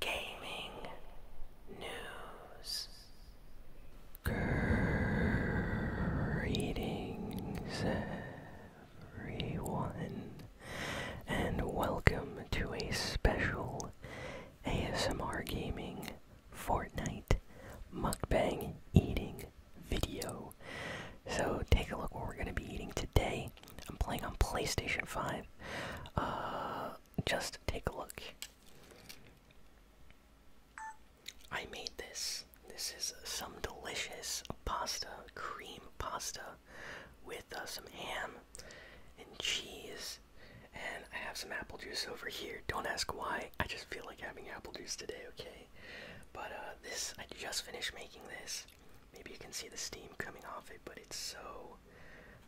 gaming news. Greetings, everyone, and welcome to a special ASMR Gaming Fortnite mukbang eating video. So, take a look what we're going to be eating today. I'm playing on PlayStation 5. Uh, just take a look. I made this. This is some delicious pasta, cream pasta, with uh, some ham and cheese. And I have some apple juice over here. Don't ask why. I just feel like having apple juice today, okay? But uh, this, I just finished making this. Maybe you can see the steam coming off it, but it's so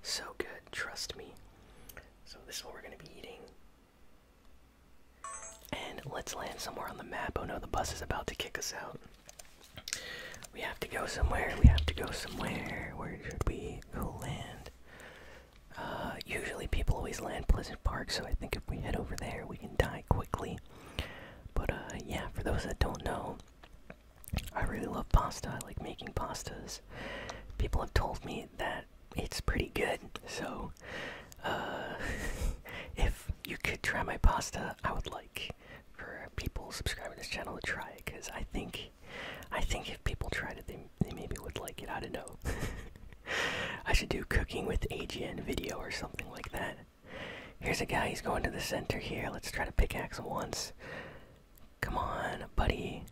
so good, trust me. So, this is what we're going to be eating. And let's land somewhere on the map. Oh no, the bus is about to kick us out. We have to go somewhere. We have to go somewhere. Where should we go land? Uh, usually people always land Pleasant Park, so I think if we head over there, we can die quickly. But uh, yeah, for those that don't know, I really love pasta. I like making pastas. People have told me that it's pretty good. So, uh, if you could try my pasta, I would like for people subscribing to this channel to try it because I think, I think if people tried it, they they maybe would like it. I don't know. I should do cooking with AGN video or something like that. Here's a guy. He's going to the center here. Let's try to pickaxe once. Come on, buddy.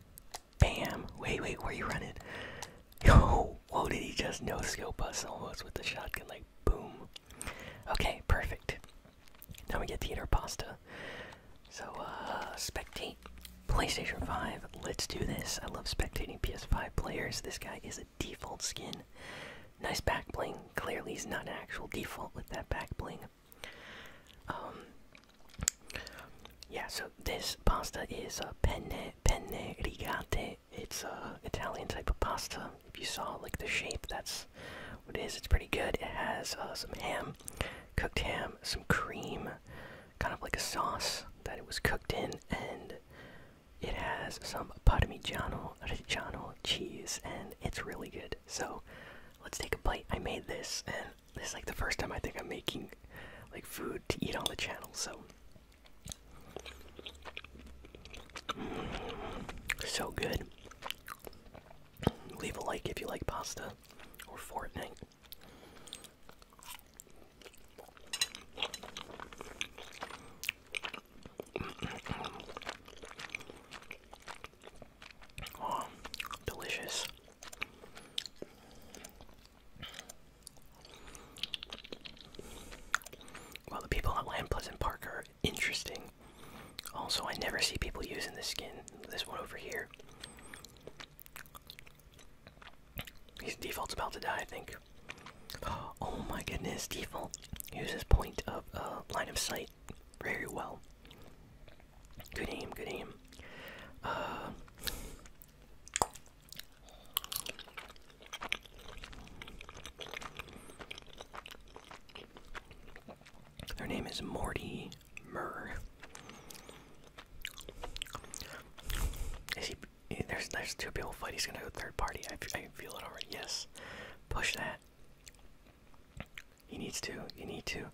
Bam. Wait, wait, where you running? Yo, whoa, did he just no scope us almost with the shotgun? Like, boom. Okay, perfect. Now we get to eat our pasta. So, uh, spectate. PlayStation 5, let's do this. I love spectating PS5 players. This guy is a default skin. Nice back bling. Clearly, he's not an actual default with that back bling. Um, yeah, so this pasta is a penne penne rigate. It's a Italian type of pasta. If you saw like the shape, that's what it is. It's pretty good. It has uh, some ham, cooked ham, some cream, kind of like a sauce that it was cooked in, and it has some Parmigiano Reggiano cheese, and it's really good. So let's take a bite. I made this, and this is like the first time I think I'm making like food to eat on the channel. So, mm, so good. Leave a like if you like pasta or Fortnite. Oh, delicious. Well, the people at Land Pleasant Park are interesting. Also, I never see people using this skin. This one over here. He's default's about to die, I think. Oh my goodness, default uses point of uh, line of sight very well. Good aim, good aim. their uh, name is Morty Murr. Is he? Eh, there's there's two people fighting. He's gonna go third party. I, I feel it already. Yes, push that. He needs to. You need to.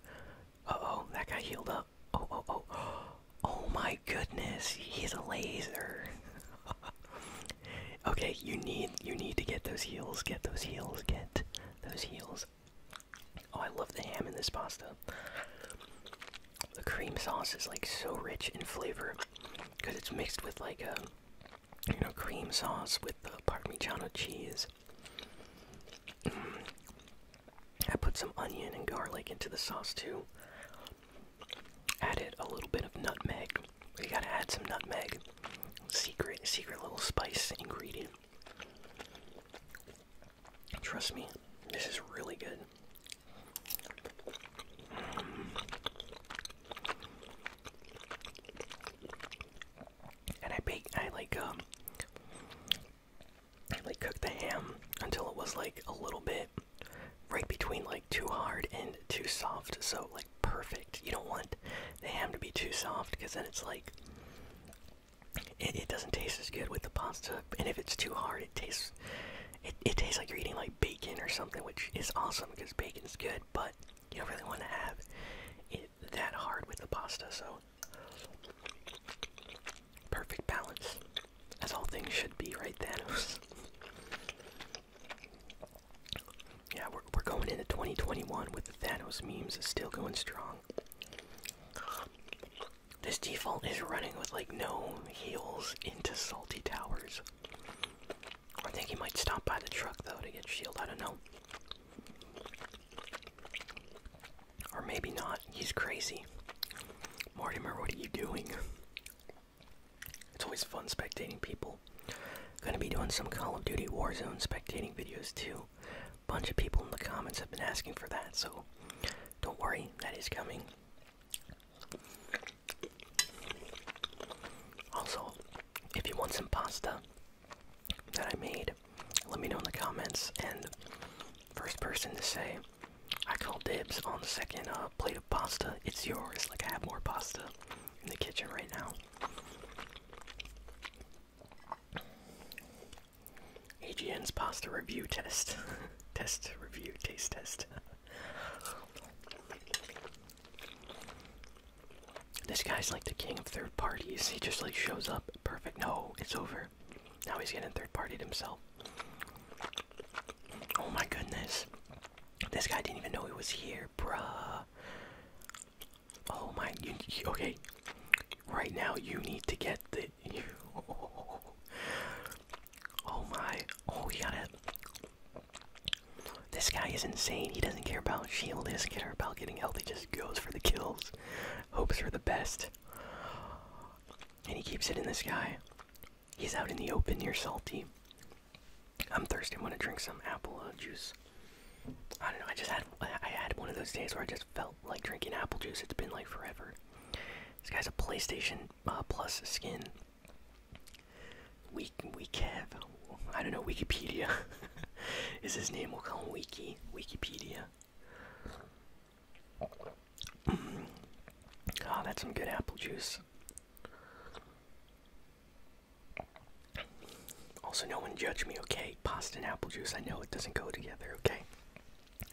Uh oh, that guy healed up. Oh oh oh. Oh my goodness, he's a laser. okay, you need you need to get those heals. Get those heals. Get those heals. Oh, I love the ham in this pasta. The cream sauce is like so rich in flavor because it's mixed with like a um, you know, cream sauce with the Parmigiano cheese. Mm. I put some onion and garlic into the sauce too. Added a little bit of nutmeg. You gotta add some nutmeg. Secret, secret little spice ingredient. Trust me, this is really good. Mm and I baked, I like, um, I like cook the ham until it was like a little bit right between like too hard and too soft, so like perfect. You don't want the ham to be too soft because then it's like it, it doesn't taste as good with the pasta, and if it's too hard, it tastes it, it tastes like you're eating like bacon or something, which is awesome because bacon's good, but you don't really want to have it that hard with the pasta, so perfect balance, That's all things should be, right, Thanos? yeah, we're, we're going into 2021 with the Thanos memes still going strong. This default is running with like no heels into salty towers. I think he might stop by the truck though to get shield. I don't know. Or maybe not. He's crazy. Mortimer, what are you doing? It's always fun spectating people. Gonna be doing some Call of Duty Warzone spectating videos too. Bunch of people in the comments have been asking for that, so don't worry, that is coming. Also, if you want some pasta that I made, let me know in the comments. And first person to say, I call dibs on the second uh, plate of pasta, it's yours. Like, I have more pasta in the kitchen right now. AGN's pasta review test. test, review, taste test. This guy's like the king of third parties. He just like shows up. Perfect. No, it's over. Now he's getting third partied himself. Oh my goodness. This guy didn't even know he was here, bruh. Oh my. You, okay. Right now, you need to get the. You, oh, my. Oh, we got it. This guy is insane. He doesn't care about shield. He doesn't care about getting healthy. Just goes for the kills, hopes for the best, and he keeps it in the sky. He's out in the open near salty. I'm thirsty. I want to drink some apple uh, juice. I don't know. I just had I had one of those days where I just felt like drinking apple juice. It's been like forever. This guy's a PlayStation uh, Plus skin. Week I don't know Wikipedia. Is his name? We'll call him Wiki. Wikipedia. Mm. Ah, that's some good apple juice. Also, no one judge me, okay? Pasta and apple juice. I know it doesn't go together, okay?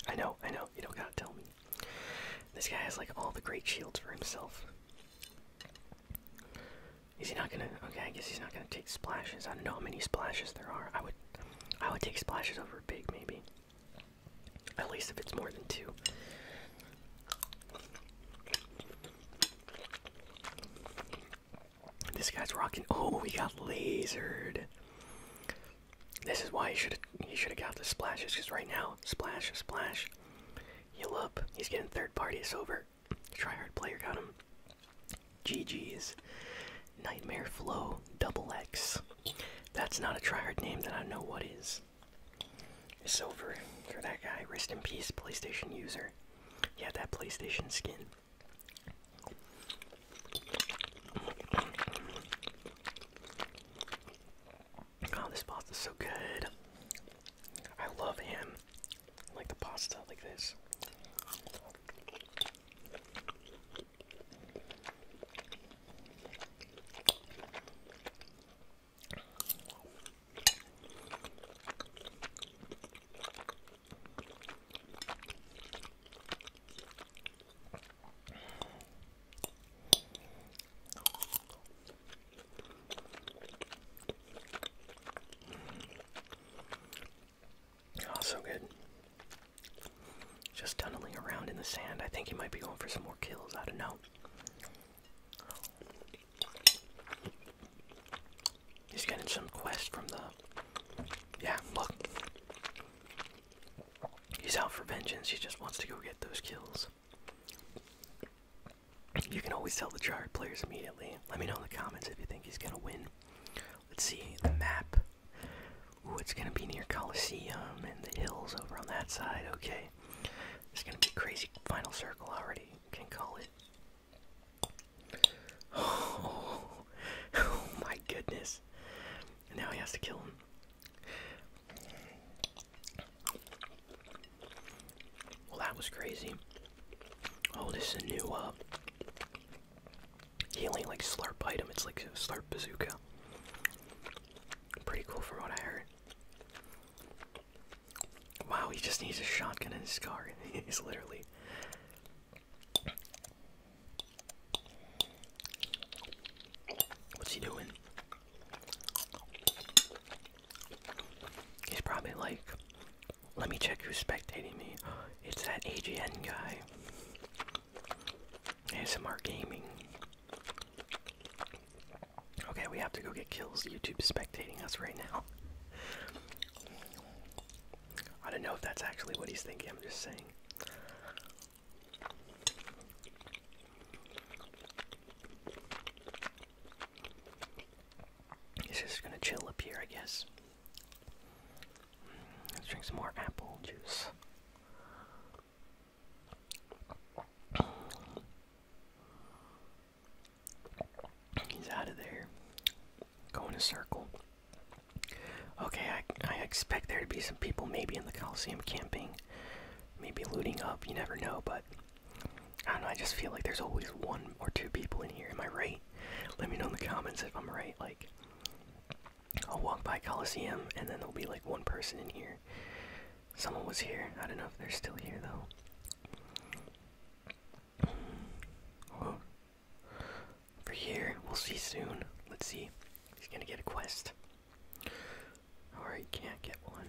I know, I know. You don't gotta tell me. This guy has like all the great shields for himself. Is he not gonna? Okay, I guess he's not gonna take splashes. I don't know how many splashes there are. I would, I would take splashes over big maybe. At least if it's more than two. This guy's rocking. Oh, he got lasered. This is why he should he should have got the splashes. Because right now, splash, splash, Heal up. He's getting third party. It's over. Tryhard player got him. GG's. Nightmare Flow Double X. That's not a tryhard name that I know what is. It's over for that guy. Rest in peace, PlayStation user. Yeah, that PlayStation skin. Oh, this is so good. I love him. like the pasta like this. Oh, so good. Just tunneling around in the sand. I think he might be going for some more kills. I don't know. He's getting some quest from the. Yeah, look. He's out for vengeance. He just wants to go get those kills. You can always tell the chart players immediately. Let me know in the comments if you think he's gonna win. Let's see the map. Ooh, it's gonna be near Coliseum and the hills over on that side. Okay, it's gonna be crazy final circle already. Can call it. Oh, my goodness! now he has to kill him. Well, that was crazy. Oh, this is a new uh, healing like slarp item. It's like slarp bazooka. Pretty cool from what I heard. Wow, he just needs a shotgun in his car. He's literally. What's he doing? He's probably like, let me check who's spectating me. It's that AGN guy. ASMR Gaming. Okay, we have to go get kills. YouTube's spectating us right now. I don't know if that's actually what he's thinking, I'm just saying. He's just gonna chill up here, I guess. Let's drink some more apple juice. He's out of there. Go in a circle. Okay, I, I expect there to be some people maybe in the Coliseum camping maybe looting up. You never know, but I don't know. I just feel like there's always one or two people in here. Am I right? Let me know in the comments if I'm right. Like, I'll walk by Coliseum, and then there'll be like one person in here. Someone was here. I don't know if they're still here though. Oh. For here, we'll see soon. Let's see. He's gonna get a quest. Or oh, you can't get one.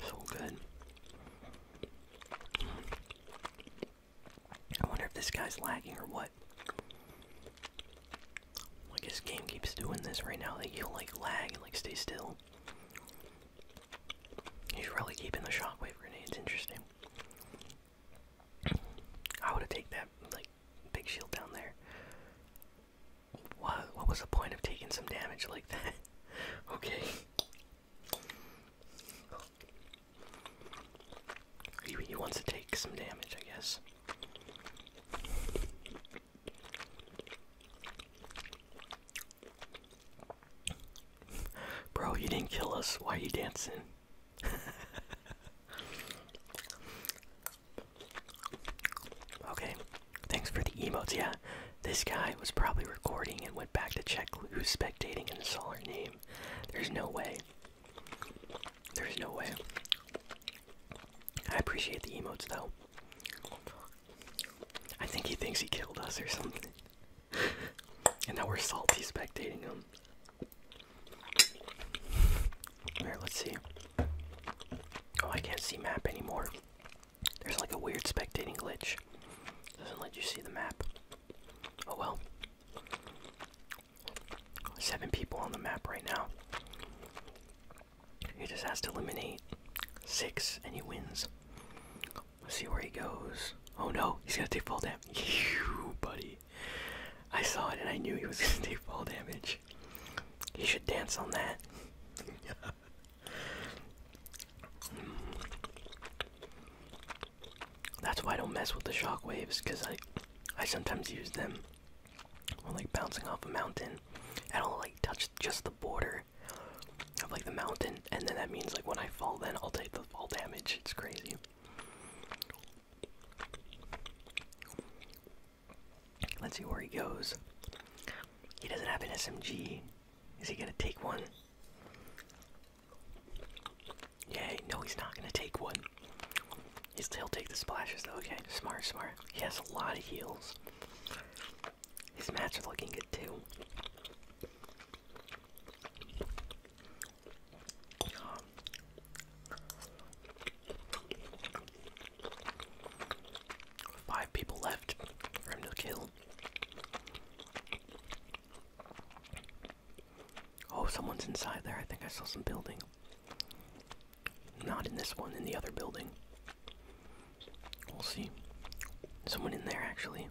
so good. I wonder if this guy's lagging or what. Like his game keeps doing this right now, like he like lag and like stay still. He's really keeping the shockwave grenades interesting. I would have taken that like big shield down there. What what was the point of taking some damage like that? okay. He, he wants to take some damage, I guess. Bro, you didn't kill us. Why are you dancing? okay, thanks for the emotes. Yeah, this guy was probably recording and went back to check who's spectating and saw our name. There's no way. There's no way. I appreciate the emotes though. I think he thinks he killed us or something. and now we're salty spectating him. Alright, let's see. Oh, I can't see map anymore. There's like a weird spectating glitch. Doesn't let you see the map. Oh well. Seven people on the map right now. He just has to eliminate six and he wins. Let's see where he goes. Oh no, he's gonna take fall damage. You buddy. I saw it and I knew he was gonna take fall damage. He should dance on that. That's why I don't mess with the shock waves, because I I sometimes use them we're like bouncing off a mountain, and I'll like touch just the border of like the mountain, and then that means like when I fall, then I'll take the fall damage. It's crazy. Let's see where he goes. He doesn't have an SMG. Is he gonna take one? Yay, no, he's not gonna take one. He'll take the splashes though, okay. Smart, smart. He has a lot of heals. His mats are looking good too. five people left for him to kill. Oh, someone's inside there. I think I saw some building. Not in this one, in the other building. We'll see. Someone in there, actually.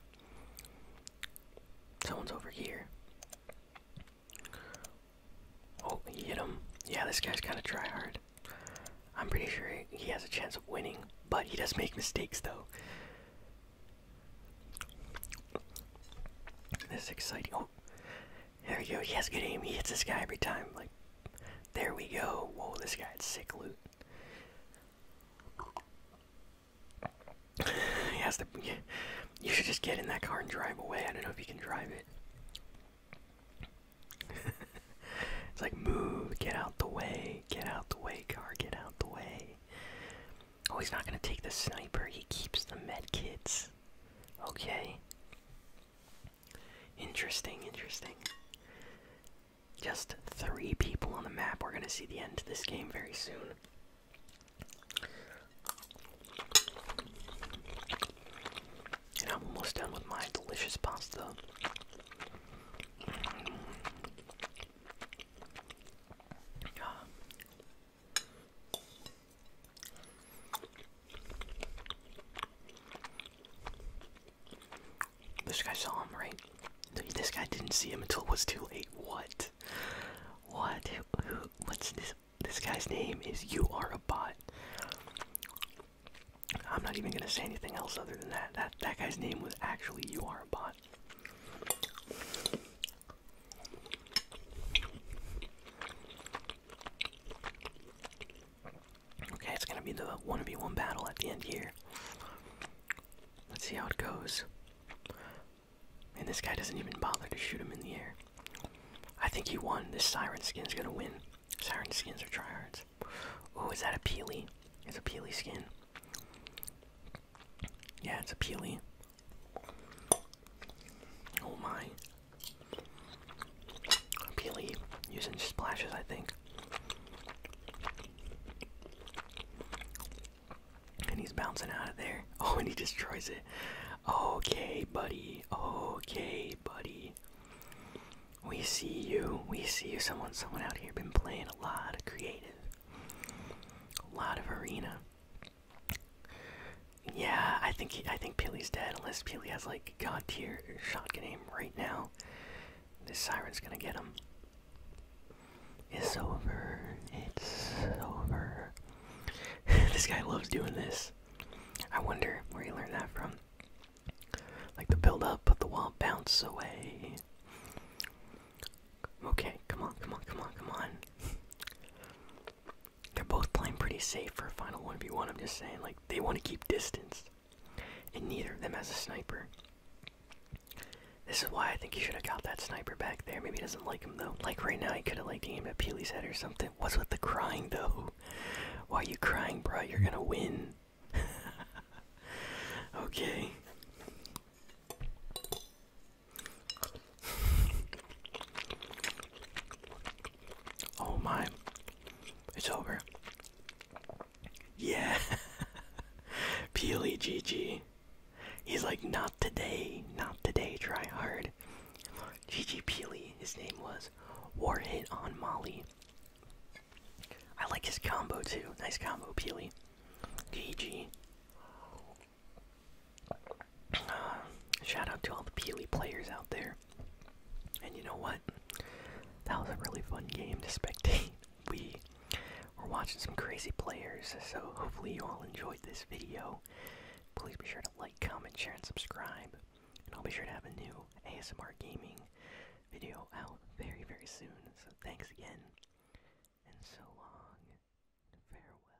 Someone's over here. Oh, he hit him. Yeah, this guy's kind of try hard. I'm pretty sure he has a chance of winning, but he does make mistakes, though. This is exciting. Oh, there we go. He has good aim. He hits this guy every time. Like, there we go. Whoa, this guy's sick loot. he has to. You should just get in that car and drive away. I don't know if you can drive it. it's like move, get out the way, get out the way, car, get out the way. Oh, he's not gonna take the sniper. He keeps the med kits. Okay. Interesting, interesting. Just three people on the map. We're going to see the end to this game very soon. And I'm almost done with my delicious pasta. This guy saw him, right? This guy didn't see him until it was too late. What? What? what's this? This guy's name is You Are a Bot. I'm not even gonna say anything else other than that. That that guy's name was actually You Are a Bot. Okay, it's gonna be the 1v1 battle at the end here. Let's see how it goes. And this guy doesn't even bother to shoot him in the air. I think he won. This Siren skin's gonna win. Siren skins are tryhards. Oh, is that a Peely? It's a Peely skin. Yeah, it's a Peely. Oh my. Peely using splashes, I think. And he's bouncing out of there. Oh, and he destroys it. Okay, buddy. Okay, buddy. We see you. We see you. Someone, someone out here been playing a lot of creative, a lot of arena. Yeah, I think he, I think Peely's dead unless Peely has like god tier shotgun aim right now. This siren's gonna get him. It's over. It's over. this guy loves doing this. I wonder where he learned that from. Like the build up, but the wall bounce away. Okay, come on, come on, come on, come on. They're both playing pretty safe for a final 1v1. I'm just saying, like, they want to keep distance. And neither of them has a sniper. This is why I think he should have got that sniper back there. Maybe he doesn't like him, though. Like, right now, he could have, like, aimed at Peely's head or something. What's with the crying, though? Why are you crying, bro? You're gonna win. okay. Oh my. It's over. Yeah. Peely GG. He's like, not today. Not today. Try hard. GG Peely. His name was War Hit on Molly. I like his combo too. Nice combo, Peely. GG. shout out to all the Peely players out there. And you know what? That was a really fun game to spectate. We were watching some crazy players, so hopefully you all enjoyed this video. Please be sure to like, comment, share, and subscribe. And I'll be sure to have a new ASMR gaming video out very, very soon. So thanks again, and so long, and farewell.